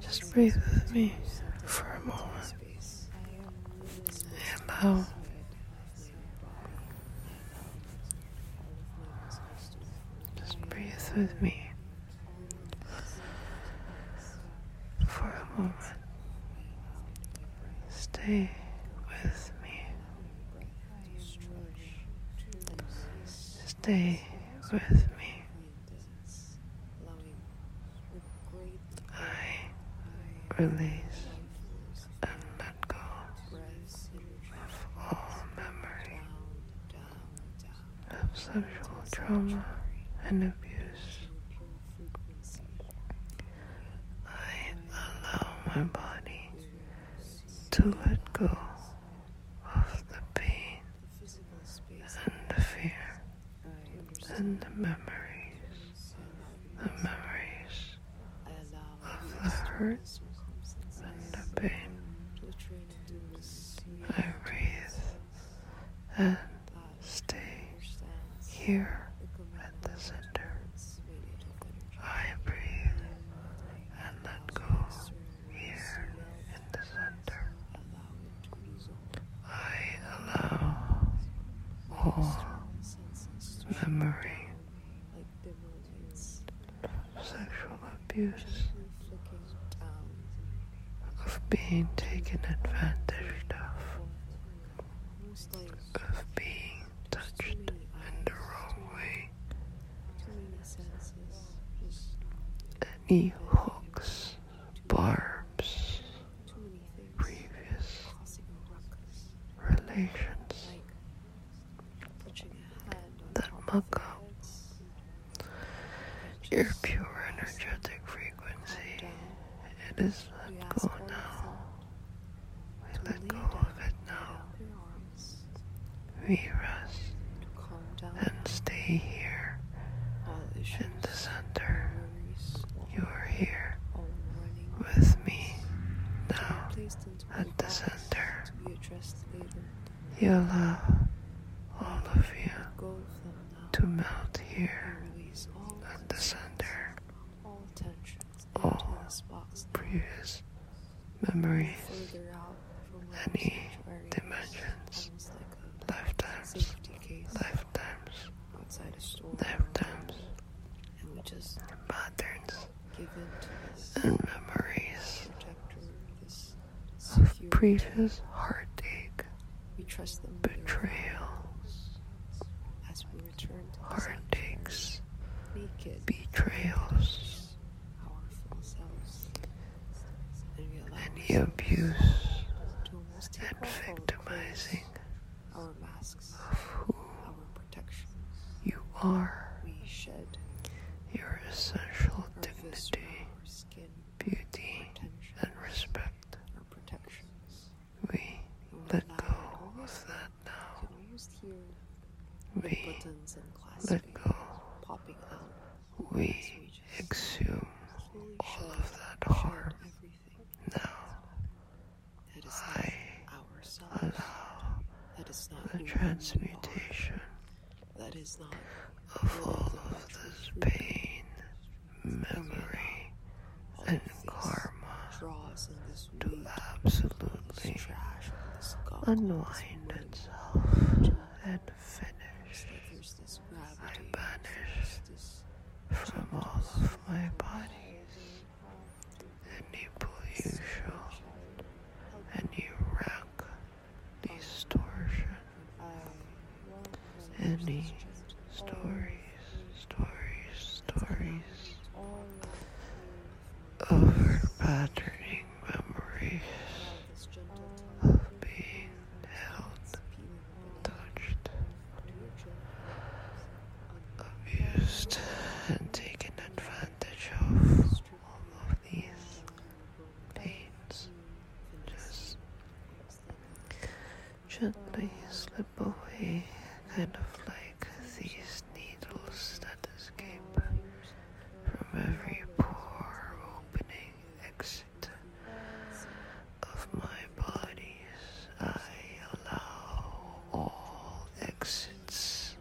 Just breathe with me for a moment. Allow just breathe with me for a moment. Stay with me. Stay with me. I release and let go of all memory of sexual trauma and abuse. I allow my body to let go of the pain and the fear and the memories, the memories of the hurt and the pain. I breathe and stay here at the center. I breathe and let go. Here in the center, I allow all memory sexual abuse, of being taken advantage of, of being touched in the wrong way any hooks, barbs, previous relations that muck up your pure energetic frequency. It is let go now. We let go of it now. We rest and stay here in the center. You are here with me now at the center. Your love, all of you, to melt here at the center. All previous memories any dimensions, lifetimes, lifetimes, lifetimes, and patterns and memories of previous heartache, betrayals, heartaches, betrayals, our selves and any abuse and victimizing masks of who our protection you are we shed your essential dignity skin, beauty and respect our protections we let go of that now we let go we exhume all of that harm. Now, I allow the transmutation of all of this pain, memory, and karma to absolutely unwind itself and finish I banish from all of my bodies any pollution, any wreck, distortion, any stories, stories, stories over patterning memories of being held, touched, abused, and taken advantage of all of these pains just gently slip away, kind of like these needles that escape from every pore opening of my bodies, I allow all exits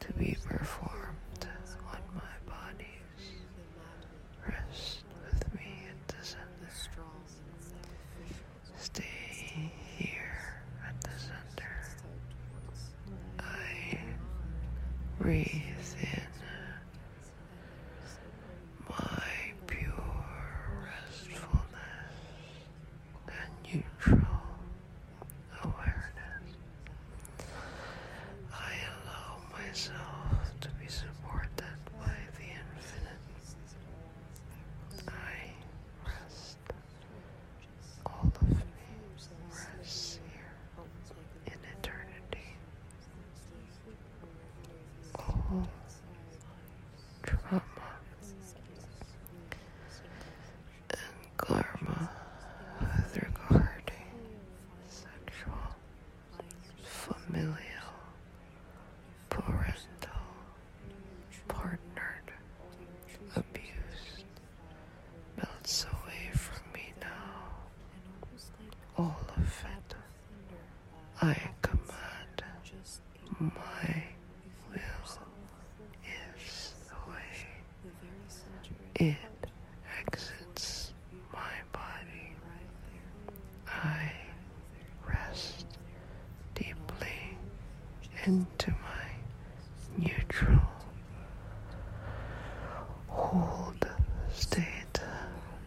to be performed on my bodies. Rest with me at the center. Stay here at the center. I breathe in my pure restfulness and neutral awareness. I allow myself to be supported by the infinite. I rest. All of me rests here in eternity all trauma karma with sexual, familial, parental, partnered, abused melts away from me now. All of it. I command my will is the way it exits my body. I rest deeply into my neutral hold state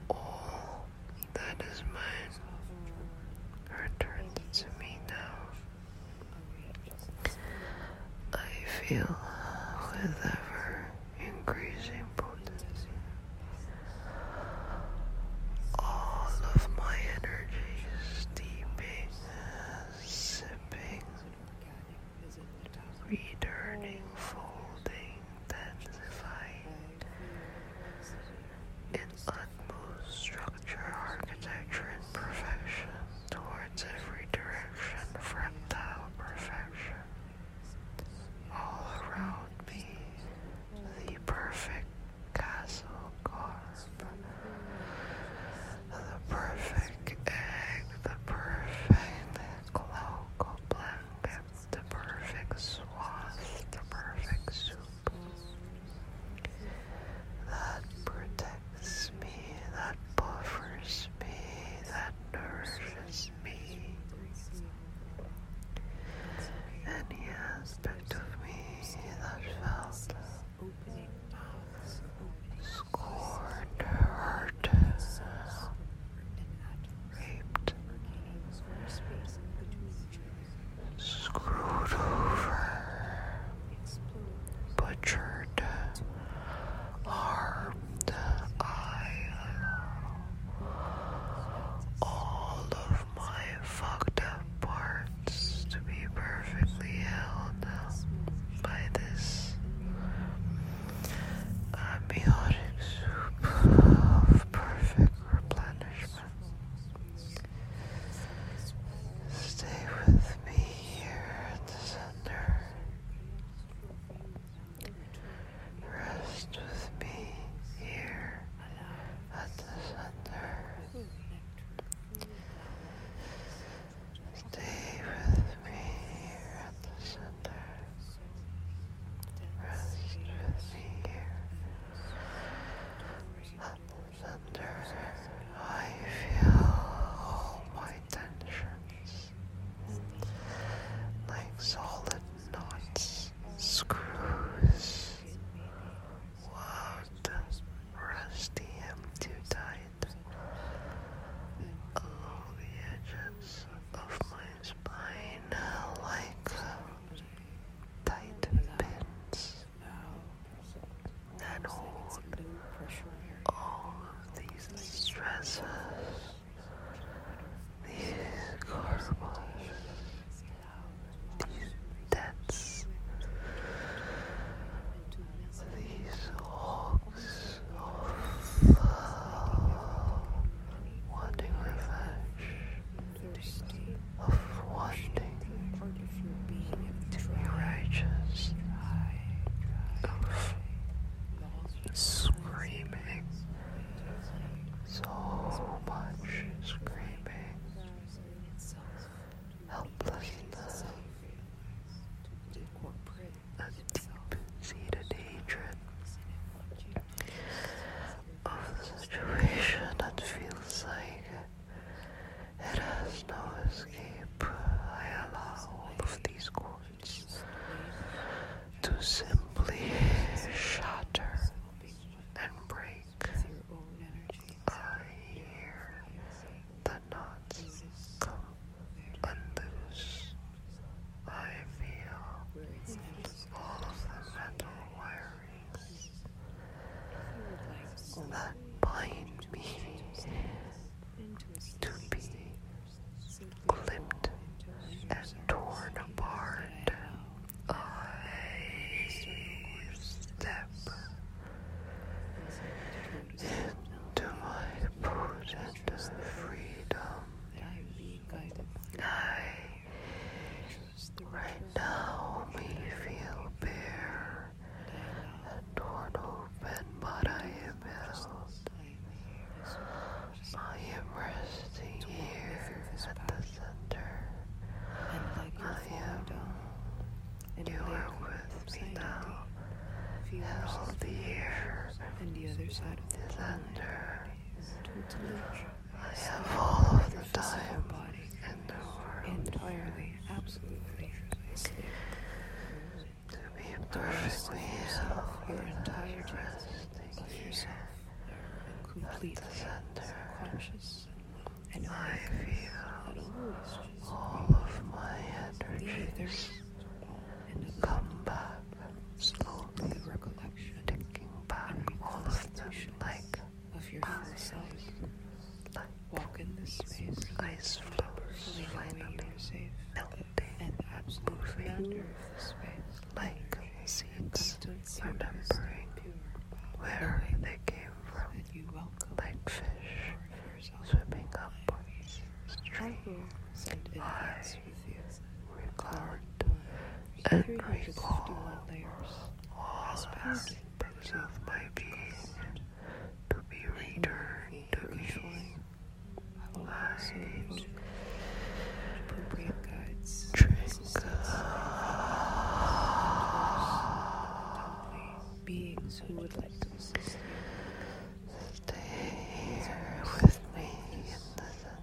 all that is mine returned to me now. I feel with ever increasing potency all of my energy steeping, sipping, returning, folding, intensified in utmost structure, architecture, and perfection towards every direction, fractile perfection. All around me, the perfect castle carved, the perfect egg, the perfect cloak or blanket, the perfect swath, the perfect soup that protects me, that buffers me, that nourishes me. Any aspect of me that felt scorned, hurt, raped, screwed over, butchered, harmed. I allow all of my fucked up parts to be perfectly held by this. Amniotic soup perfect replenishment. Stay with me here at the center. Rest with me here at the center. Stay with me here at the center. Rest I feel all my tensions like solid knots, screws. Wound, rusty, am too tight. Along the edges of my spine like tight pins that hold all these stresses, these carbuncles, these debts, these hogs wanting revenge, of wanting to be righteous, of screaming, so much screaming, helplessness, a deep-seated hatred of the situation that feels like it has no escape. I allow all of these chords to simply shatter and break. I hear the knots come unloose. I feel accepts all of the mental wirings that bind me to be clipped and torn apart. I step into my prudent freedom. Right now, we feel bare and torn open, but I am held. I am resting here at the center. I am. You are with me now. Held here at the center. I have all of the time in the world entirely, absolutely to be perfectly healed and of resting here at the center. And I feel all of my energies come back slowly holy recollection, taking back all of them like of your Like walk in this space. Ice flows finally, melting moving. Like seeds, remembering where they came from. Like fish swimming up, straight, high record, and recall all aspects of my being to be returned to me. Light, drink, beings who would like to you. Stay with me in the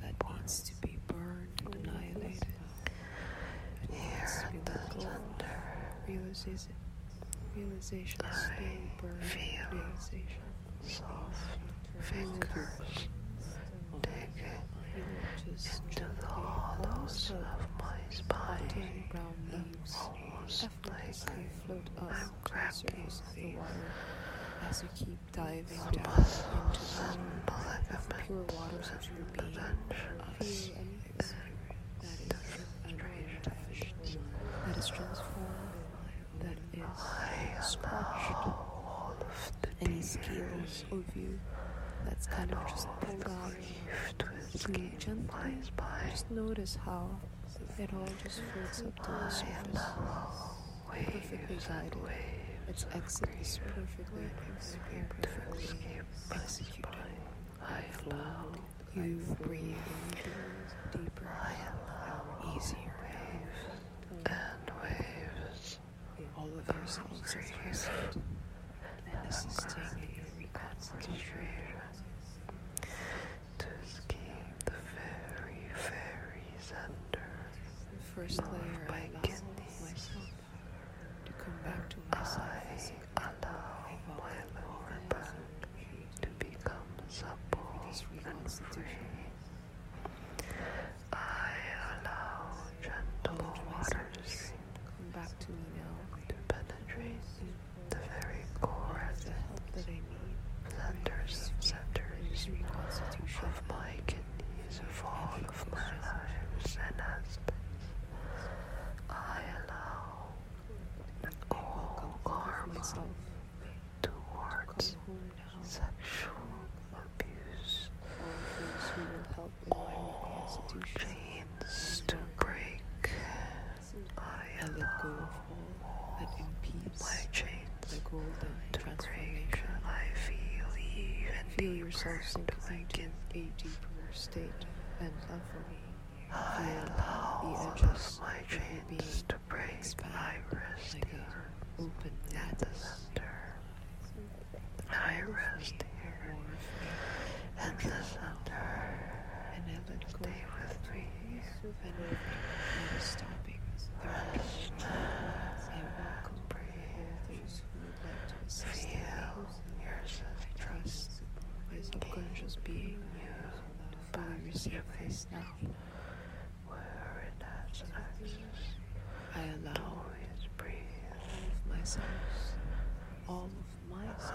that wants to be burned and annihilated. It Here at the center, realization, realization, burning, realization. Soft fingers digging into the hollows of my spine. Almost like I'm grabbing the as you keep diving down into the pure waters of your being, of you and your that is unrealised, that is transformed, that is scorched. Any skills of you that's kind of just pulled out, being gentle, just notice how it all just floats up to the surface. Wave perfectly guided. Its exit is perfectly, perfectly executed. I allow you breathe in deeper and easier waves and waves. All of your senses are present, assisting in your to escape the fairy fairies and the first layer by I allow myself to come back to myself. I allow my lower back to become supple and free. I allow gentle water stream come back to me now to penetrate the very core the help that I need. Centers, centers of my these for all of my lives and aspects. I allow all karma towards sexual abuse, all chains to break. I allow all my chains the golden transformation. I feel even feel yourself sinking into a deeper state and love for me. I allow all edges of my chains to break. I rest here, open at the center. I rest here, at the center. And I let go. Stay with me. And never stopping. Rest. And welcome. Feel yourself trust my subconscious being by receiving now. Where it has access, I allow it to breathe all of myself, all of myself.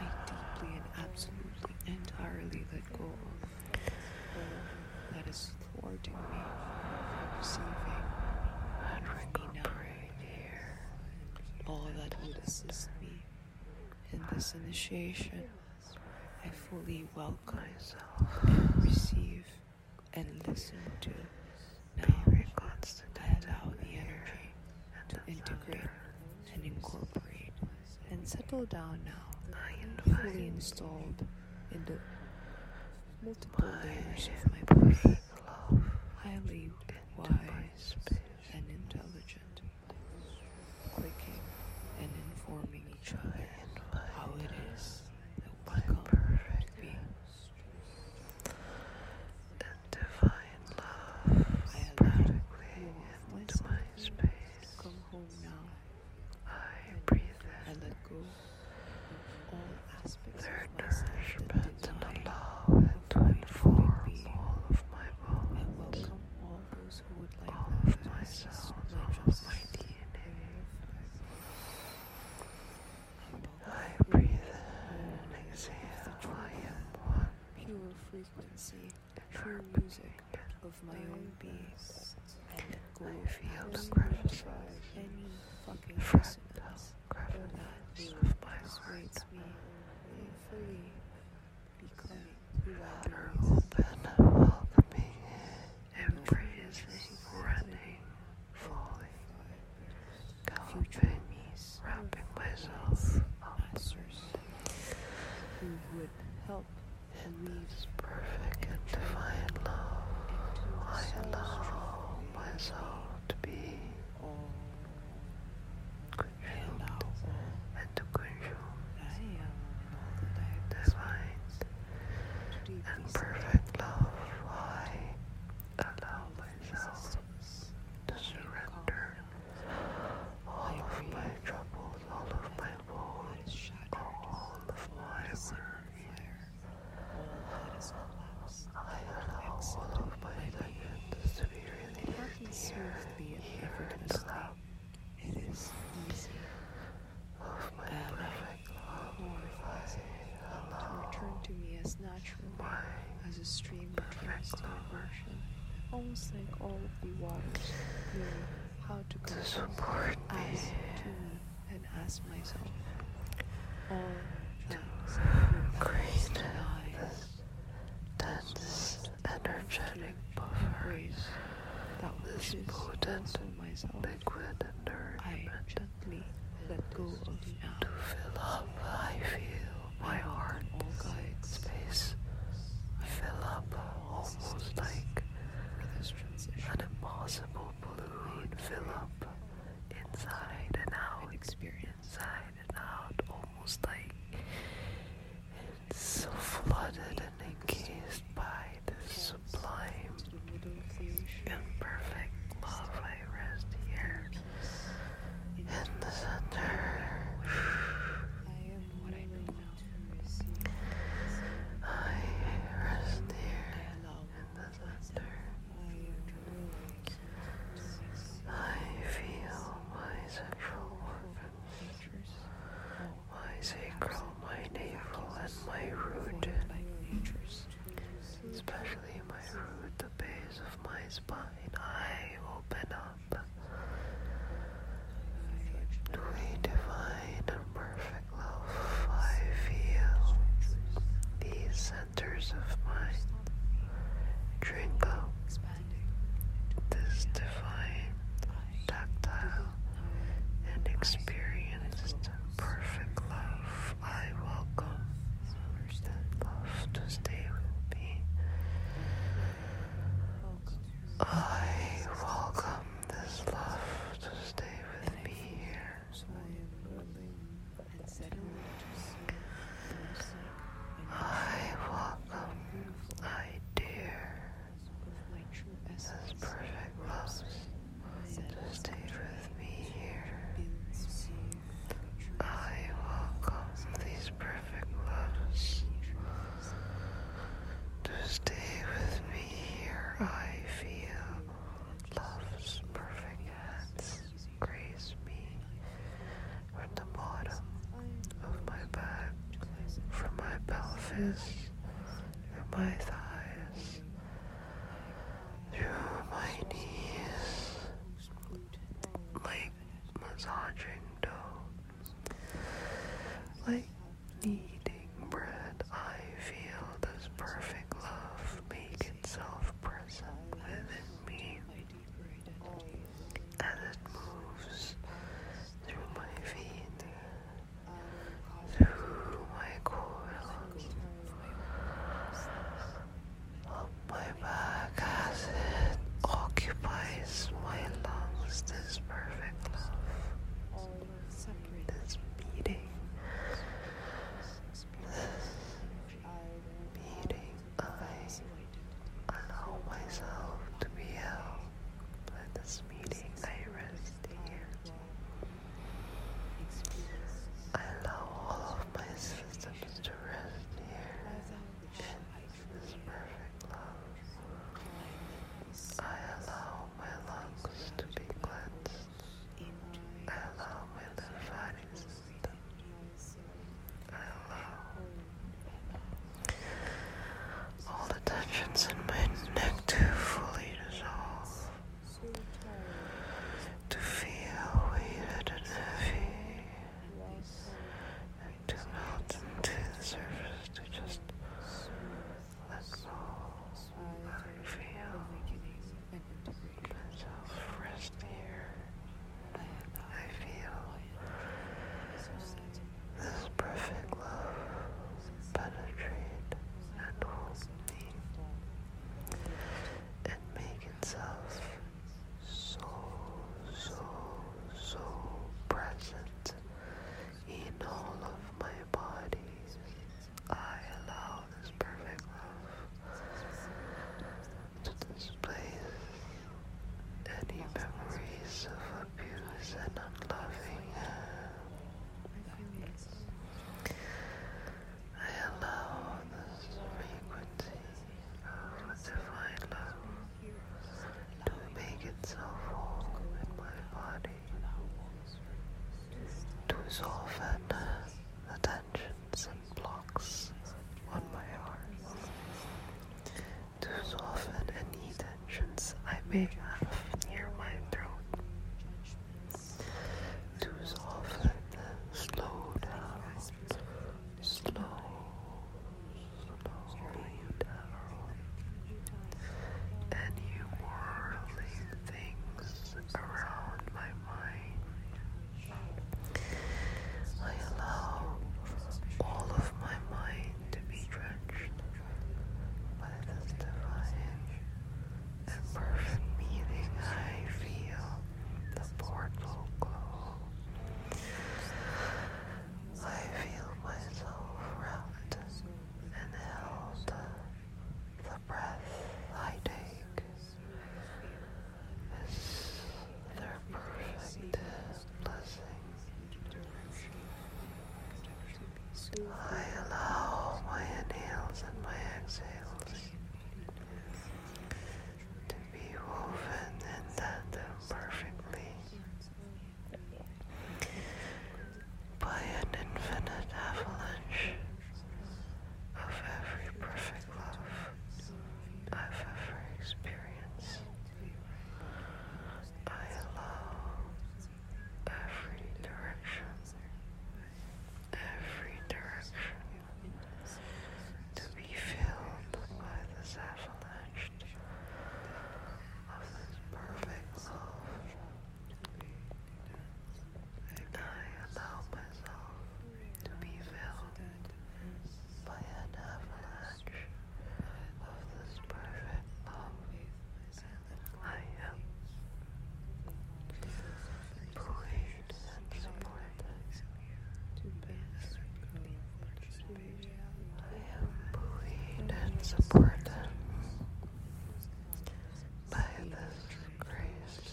I deeply and absolutely entirely let go of that is thwarting me from receiving and me here. All that would assist me in this initiation, I fully welcome and receive and listen to now I allow the energy to integrate and incorporate and settle down now fully installed in the multiple my layers of my perfect love, highly wise and intelligent, clicking and informing each other how it is that we come perfect to be. divine love perfectly into my space. I breathe in. I let go of all aspects their of nourishment and allow it to inform all of my bones. I welcome all those who would like all of my cells, all of my DNA. I breathe in and exhale. I am one. Pure frequency, true music of my own beast. I feel the crevices, any fucking fractal crevices of my heart. Me fully becoming water open, welcoming, embracing, running, falling, galloping, wrapping myself up. Answers who would help in this perfect and divine love, I allow myself to be consumed and to consume divine and perfect love. I allow myself to surrender all of my troubles, all of my woes, all of my worries all of my diamonds to be released here, here in the lap. It is easy. Of my and perfect love, I allow to return to me as natural as a stream returns to the ocean, almost like all of the waters how to, to support me and ask myself all things create this dense energetic buffer that this potent myself liquid nourishment gently let go of now. to fill up I feel my heart space fill up almost like an impossible fill up inside and out, inside and out, almost like so flooded and encased by the sublime and love. I rest here in the center. I rest here. I feel my sexual organs, my sacral, my navel, and my root, especially my root, the base of my spine. I open up. We divine and perfect love, I feel these centers of mine drink up this divine, tactile, and experienced perfect love. I welcome love to stay with me. I welcome this love to stay with me here I welcome my dear, this perfect love to stay with me here. I welcome these perfect loves to stay with me here. I feel Love's perfect hands grace me from the bottom of my back, from my pelvis, through my thighs, through my knees, like massaging dough, like kneading bread, I feel this perfect love make itself present within me as it moves through my vein, through my coil, up my back as it occupies my lungs, this perfect love this beating, this beating, I allow myself to be held by this beating, I rest here. I allow all of my systems to rest here in this perfect love. I allow my lungs to be cleansed. Allow my lymphatic I Allow all the tensions in my neck to fully dissolve. To feel weighted and heavy. And to melt into the surface to just Let's all feel myself rest here. I feel this perfect love penetrate and hold me and make itself so, so, so present in all of my bodies. I allow this perfect love to displace any memories of abuse and unloving. I allow this frequency of divine love to make itself home in my body to resolve her the tensions and blocks on my arm, to soften any tensions I may have near my throat, to soften, slow down, slow, slow down, any whirling things around my mind. I allow all of my mind to be drenched by this divine and perfect meaning. I feel the portal glow. I feel myself wrapped and held. The breath I take is their perfect blessing. I allow my inhales and my exhales to be woven in that perfectly by an infinite avalanche of every perfect love I've ever experienced. I allow every direction, every direction to be filled by this avalanche of this perfect love. I allow myself to be filled by an avalanche of this perfect love. I am buoyed and supported. I am buoyed and supported by this grace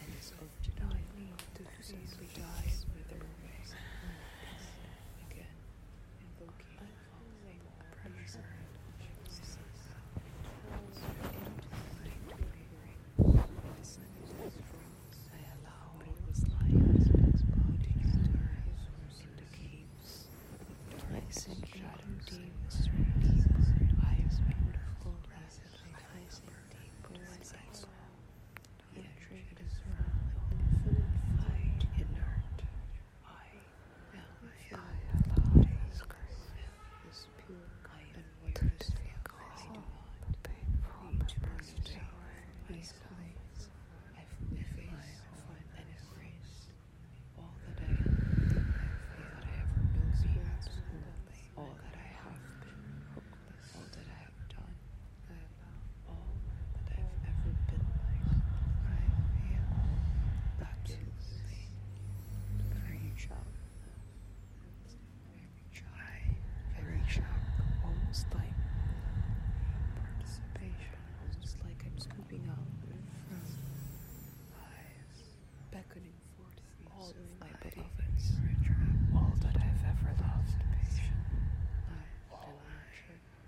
and is ultimately to simply die with a Again, invoking unfoldable pressure I allow all this life as possible to enter into keeps. I simply condemn deeper, I am beautiful, I sink deeper, I sink Yet drift is from infinite fight inert. I am found this grace is pure and where is I do not painful eternity. I silence, I find an embrace all that I am, everything that I ever will be, absolutely, all that I have been, all that I have done, all that I've ever been like, I am absolutely free child. Very shy, very shy, almost like participation, almost like I'm scooping out from high beckoning forth all of my beloveds, all that I've ever loved, all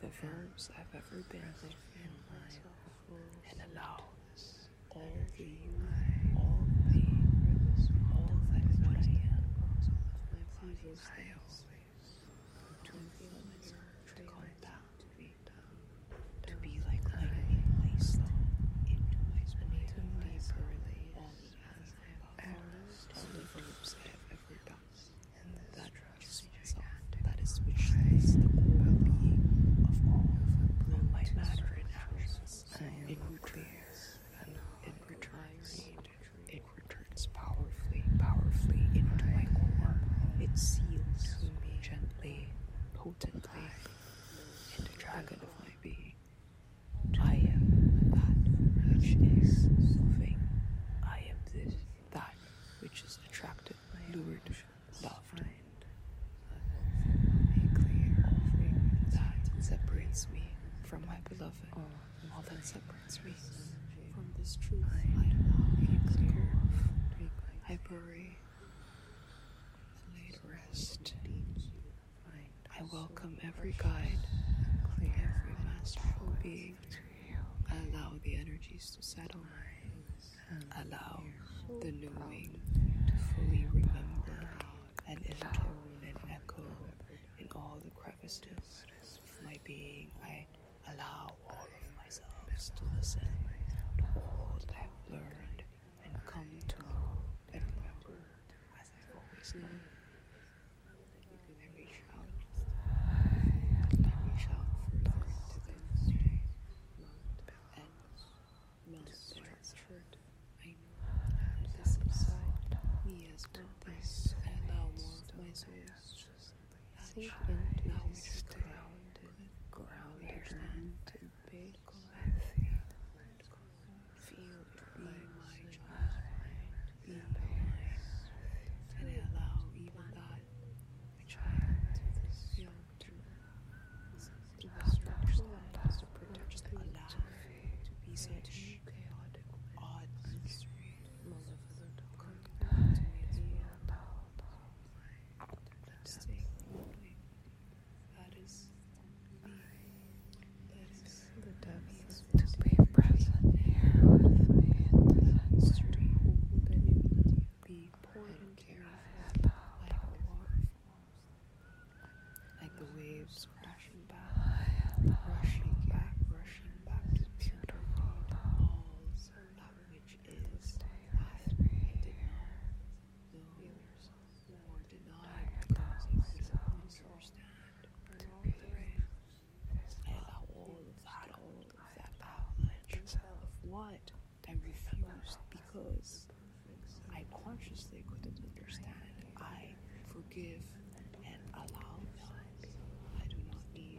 the verbs I've ever been and allow all the, all the, all that I am. I always to come back to be like lightning placed into my spirit, deeper relays as I have ever the groups I have ever done, and that trust myself, that is which is the core being of all, all matter and actions, it returns, it returns, it returns powerfully, powerfully into my core, it seals me gently, and the dragon of my being. I am that which is loving. I am this that which is attracted, lured, loved. A clear that separates me from my beloved, oh, all that separates me from this truth. I allow a I bury. I welcome every guide, every masterful being. Allow the energies to settle. Allow the knowing to fully remember and echo and echo in all the crevices of my being. I allow all of myself to listen, all I have learned, and come to know and remember as I've always known. I reach out, I reach out for to the and not transferred. I know this inside me as one thing, and now want my soul sink into this grounded, grounded land big blessing. Feel my child be blind and allow even that child young to pass through to protect Allah to be such chaotic, odd, and sweet, malevolent, complicated. Let's take that is The depths to be present here with me in the sensory be pouring careful like the waterfalls, like the waves crashing back, rushing back, rushing back to the halls, that which is feel yourself or deny myself to understand or to believe. And I will battle that avalanche of what I refuse because I consciously couldn't understand. I forgive and allow I do not need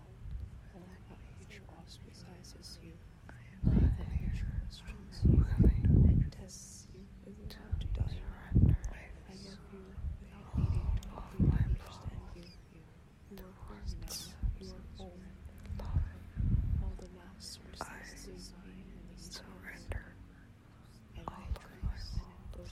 I let my age ostracizes you. I am not age questions you and tests you with the to die. I love you without needing to fully understand you. You are home now. You are home. All the last resistance is mine in these times. Surrender. And I trace and book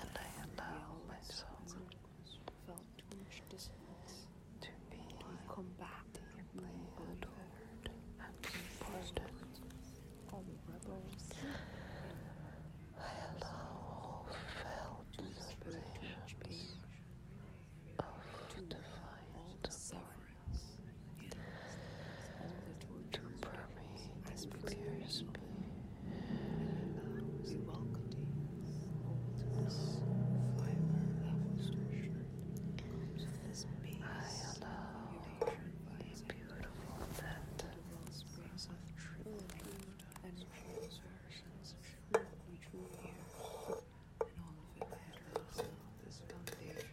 and I allow myself to be deeply adored and supported. I allow all felt sensations of divine to be me as prayers be, and allows Malkadines, oldness, fiber of his I allow a beautiful net springs of true and false we drew here, and all of it matters of this foundation.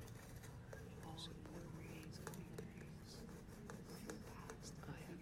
All of the reeds and trees, from past I have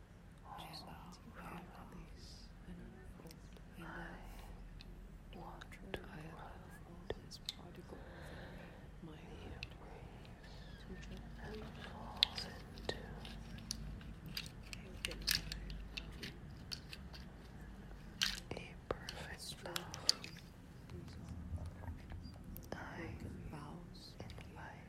all will release and unfold. I want to unfold this particle of my hand to gently into a perfect love. I vows in life.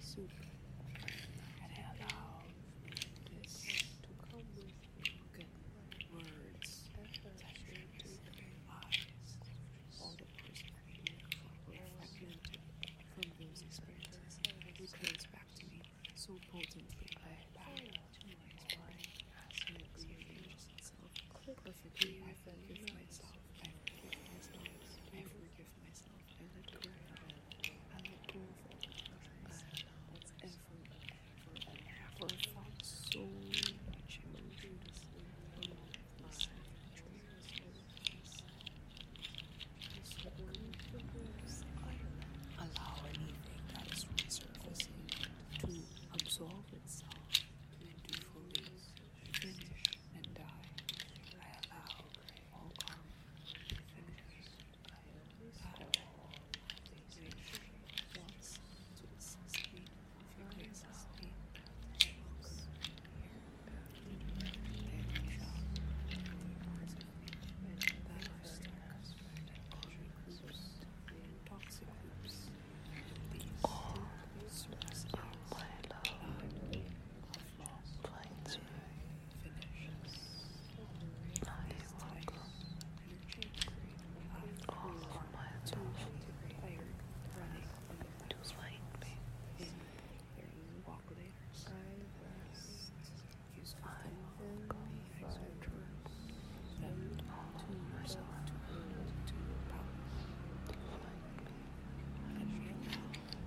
soup. And this to come with good words that you to realize all the words that we for were from those experiences. Returns back to me so potently I bow my body myself. I forgive myself. I forgive forgive myself. I let go. I let go of all others. I ever, ever, and ever felt so much emotion in my life. Allow anything that is resurfacing to absorb itself into fully finished and I, I allow all karma to finish. Once, speed, furious speed, looks, here, there shall be parts of me that are stuck, and toxic these all sources of Plains move. welcome all of my thoughts to light me. I welcome all of myself to light me.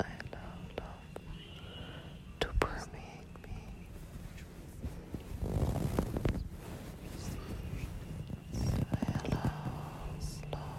I allow love to permeate me. I allow love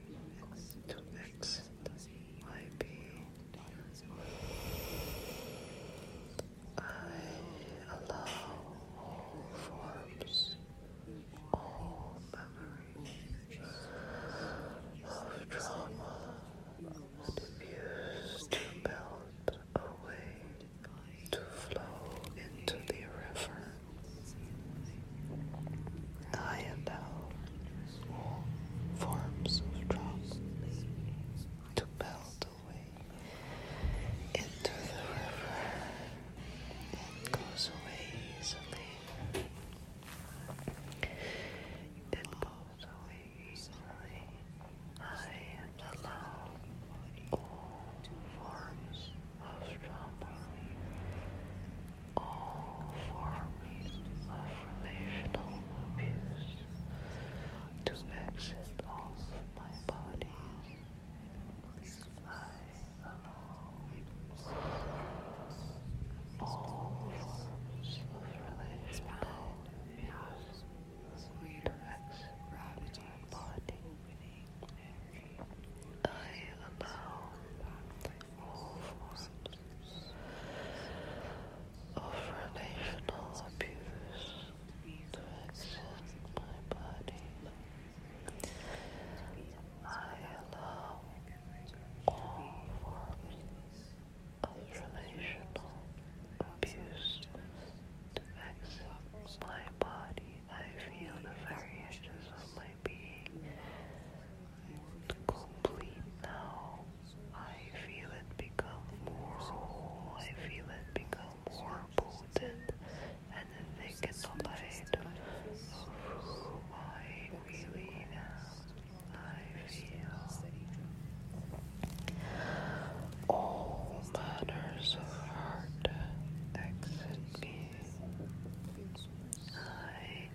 X Y B I allow all forms, all memories of trauma and abuse to melt away, to flow into the river high and all forms of drops to melt away into the river. It goes away easily. It goes away easily. I am alone. All forms of strongly all forms of relational abuse to exit off my body. I allow all forms of relational abuse I allow forms of relational abuse to exist my body. I allow all forms of relational abuse to exit my body. I feel the variations of my being i complete now. I feel it become more whole. I feel it become more potent and thick in the light of who I really am. I feel all manners of heart exit me. I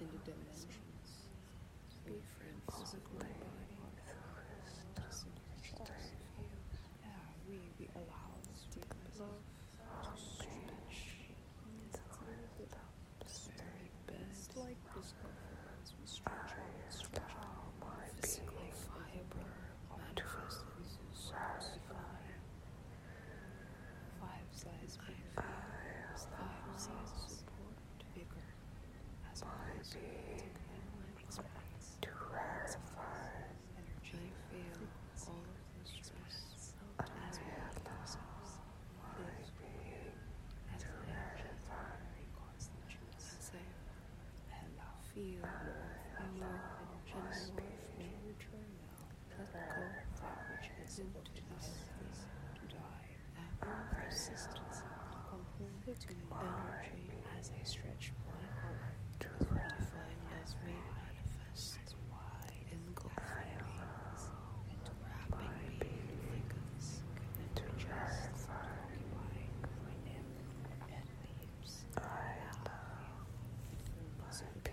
into dimensions. Be friends with my body. Just enrich Yeah, we, we allow deep love to stretch. It's the very best. Like this as we stretch out, stretch out. Physical fiber manifests as a Five size five size bigger as to rarefy energy feel all of the stress as we have thousands might be as to rarefy safe and feel more energy return now far which is to us to die, our persistence, conflicting energy as a stretch point, truth defined as made manifest, engulfing beings, into wrapping being like us, into just occupying and leaves. I love you.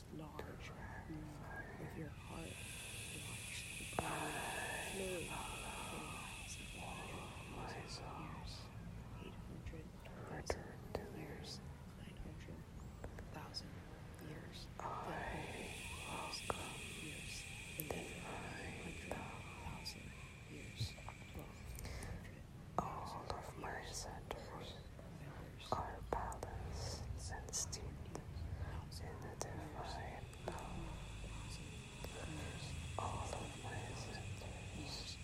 is large. Move mm, with your heart. Watch the body flow. Years, 800 thousand years, 900 thousand years, thousand years, and then hundred thousand years, twelve hundred all of my centers are balance sensitive, identified now. All of my centers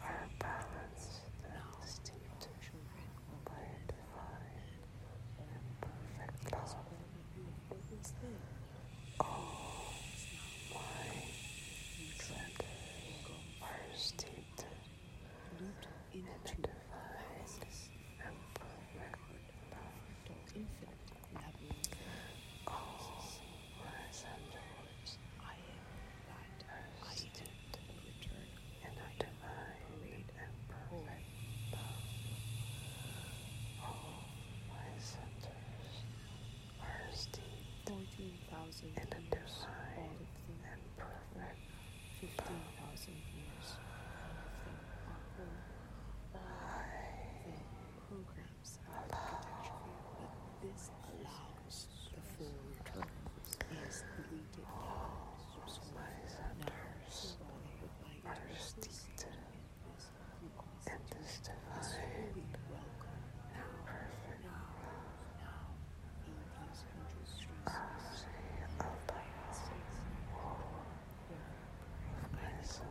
are balanced and steeped by divine and perfect love. All my centers are steeped identifies a perfect All resemblance is in a divine and perfect love. All my centers are steeped in a divine and perfect 15,000 years of the programs of architecture, but this allows the full terms is deleted down now surrounded by divine now now now in these hundred myself.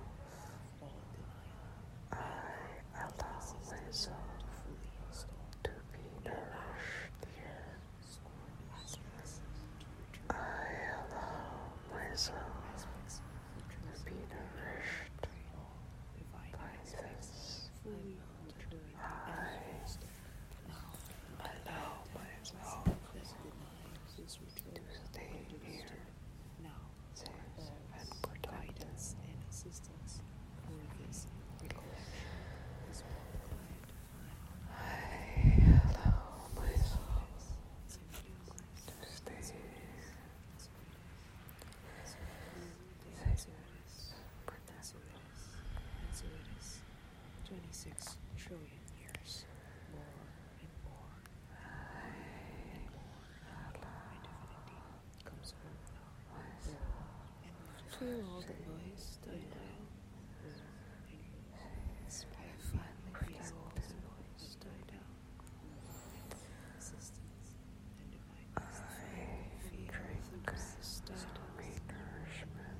I allow myself to be nourished I allow myself to be nourished by this. I allow myself stay here now safe and protected. and assistance for this recollection I allow myself to stay safe 26 trillion years, more and more and more and infinity comes over us. And through all the noise, denial, will, and finally all the noise died out, and existence and divine fear of the grass died out. Nourishment.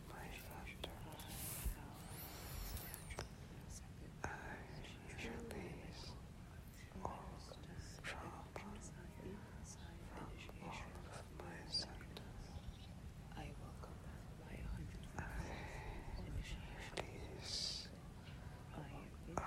I release all trauma from all my symptoms. I welcome my I release I, I, I, I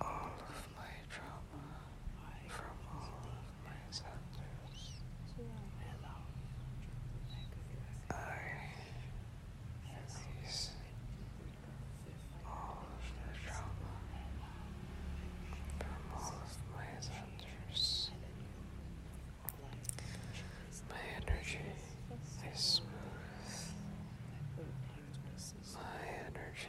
all of my trauma from all of my centers. I release all of the trauma from all of my centers. My energy is smooth. My energy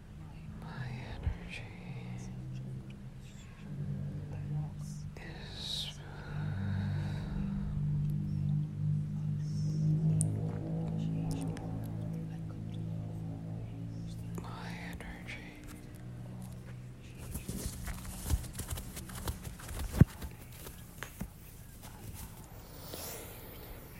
My energy is My energy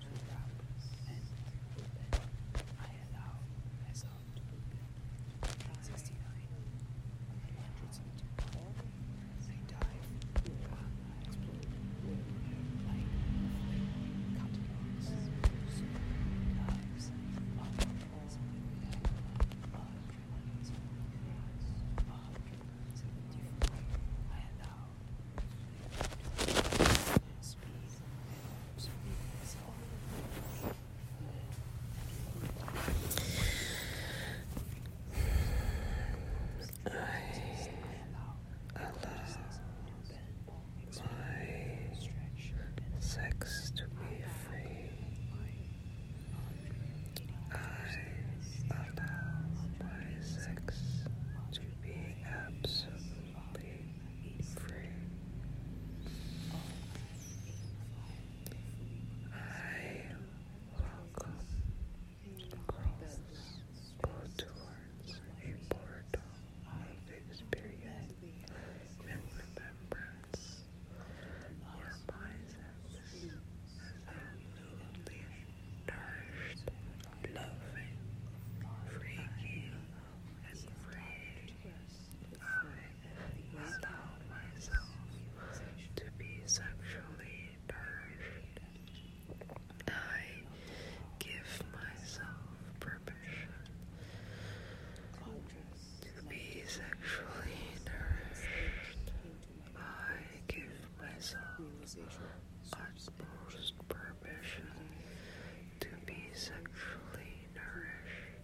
to wrap I allow myself to open. 69. 174. I dive. Um, I cutting off soup, knives, love, I allow my sex to be free. I allow my sex to be absolute be free. I welcome girls go towards a experience and remembrance where my senses absolutely nourished, loving, free and afraid. I allow myself to be sexually purged. I give myself permission to be sexually nourished. I give myself utmost permission to be sexually nourish.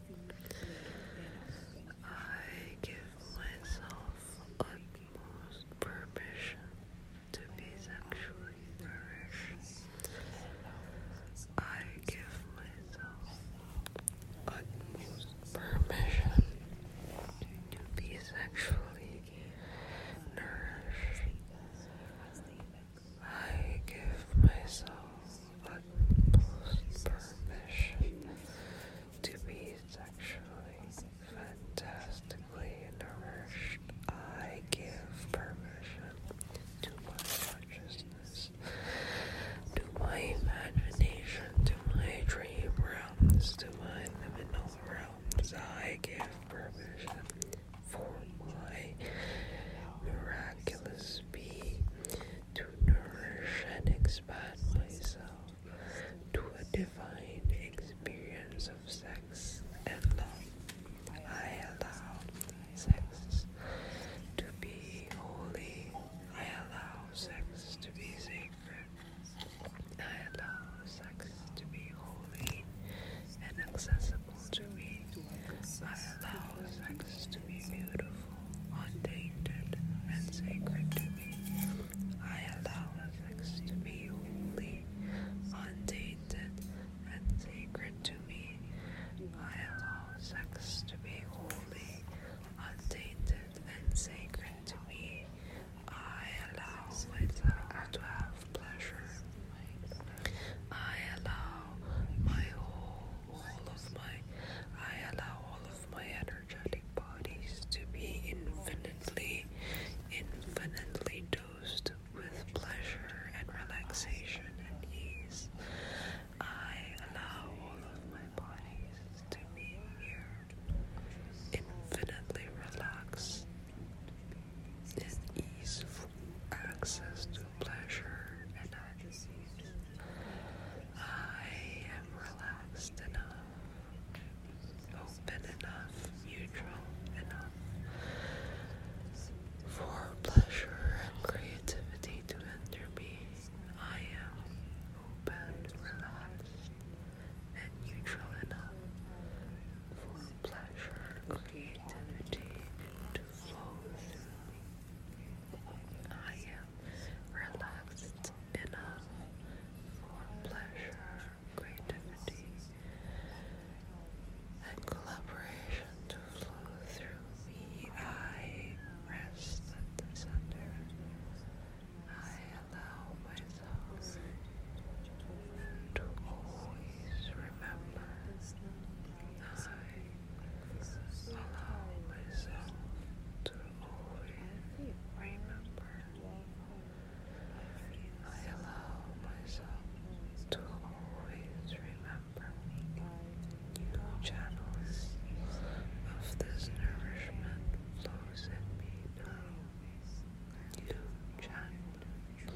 I give myself utmost permission to be sexually nourished. I give myself utmost permission to be sexually nourished. I give myself permission to be sexually fantastically nourished. I give permission to my consciousness, to my imagination, to my dream realms, to my liminal realms. I give permission for my miraculous being to nourish and expand myself to a divine experience of sex and love. I allow sex to be holy. I allow sex to be sacred. I allow sex to be holy and accessible to me. I allow sex to be beautiful, untainted, and sacred to me. I allow sex to be holy, untainted, and sacred to me. I allow sex to be holy, untainted, and sacred to me. I allow myself to have pleasure. I allow my whole, all of my, I allow all of my energetic bodies to be infinitely, infinitely dosed with pleasure and relaxation and ease. I allow all of my bodies to be here, infinitely relaxed, and easeful access to pleasure and ecstasy. I am relaxed enough, open enough, neutral enough for pleasure and creativity to enter me. I am open, relaxed, and neutral enough for pleasure, creativity to flow through me. I am relaxed enough for pleasure, creativity, and collaboration to flow through me. I rest at the center. I allow myself to always remember I allow myself to always remember. I allow myself to always remember new channels of this nourishment flows in me through. New channels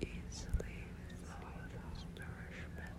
easily flow nourishment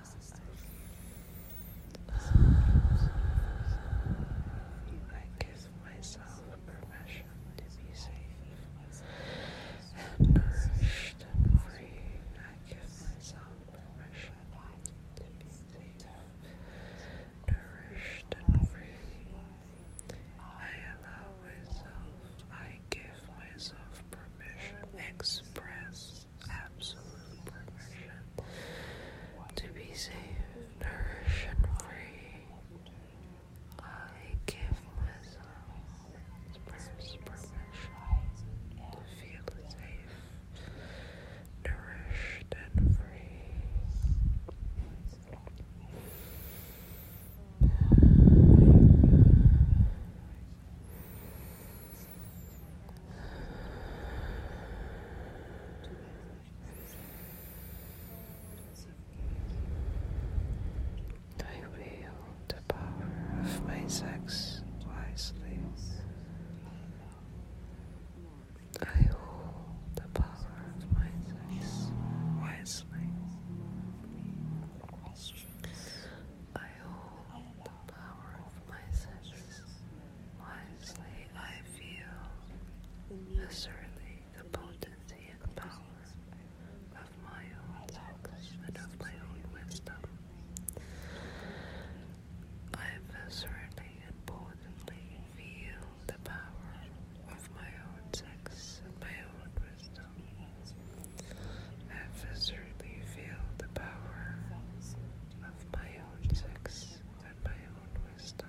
I give myself permission to be safe and nourished and free. I give myself permission to be safe, nourished and free. I allow myself, I give myself permission, express absolute permission to be safe, nourished, and free. I give myself this permission to feel safe, nourished, and free. I wield the power of my sex wisely. I hold the power of my sex wisely. I hold the power of my senses. Wisely I feel, assertly the potency and power of my own thoughts and of my own wisdom. I viscerally and potently feel the power of my own sex and my own wisdom. I viscerally feel the power of my own sex and my own wisdom.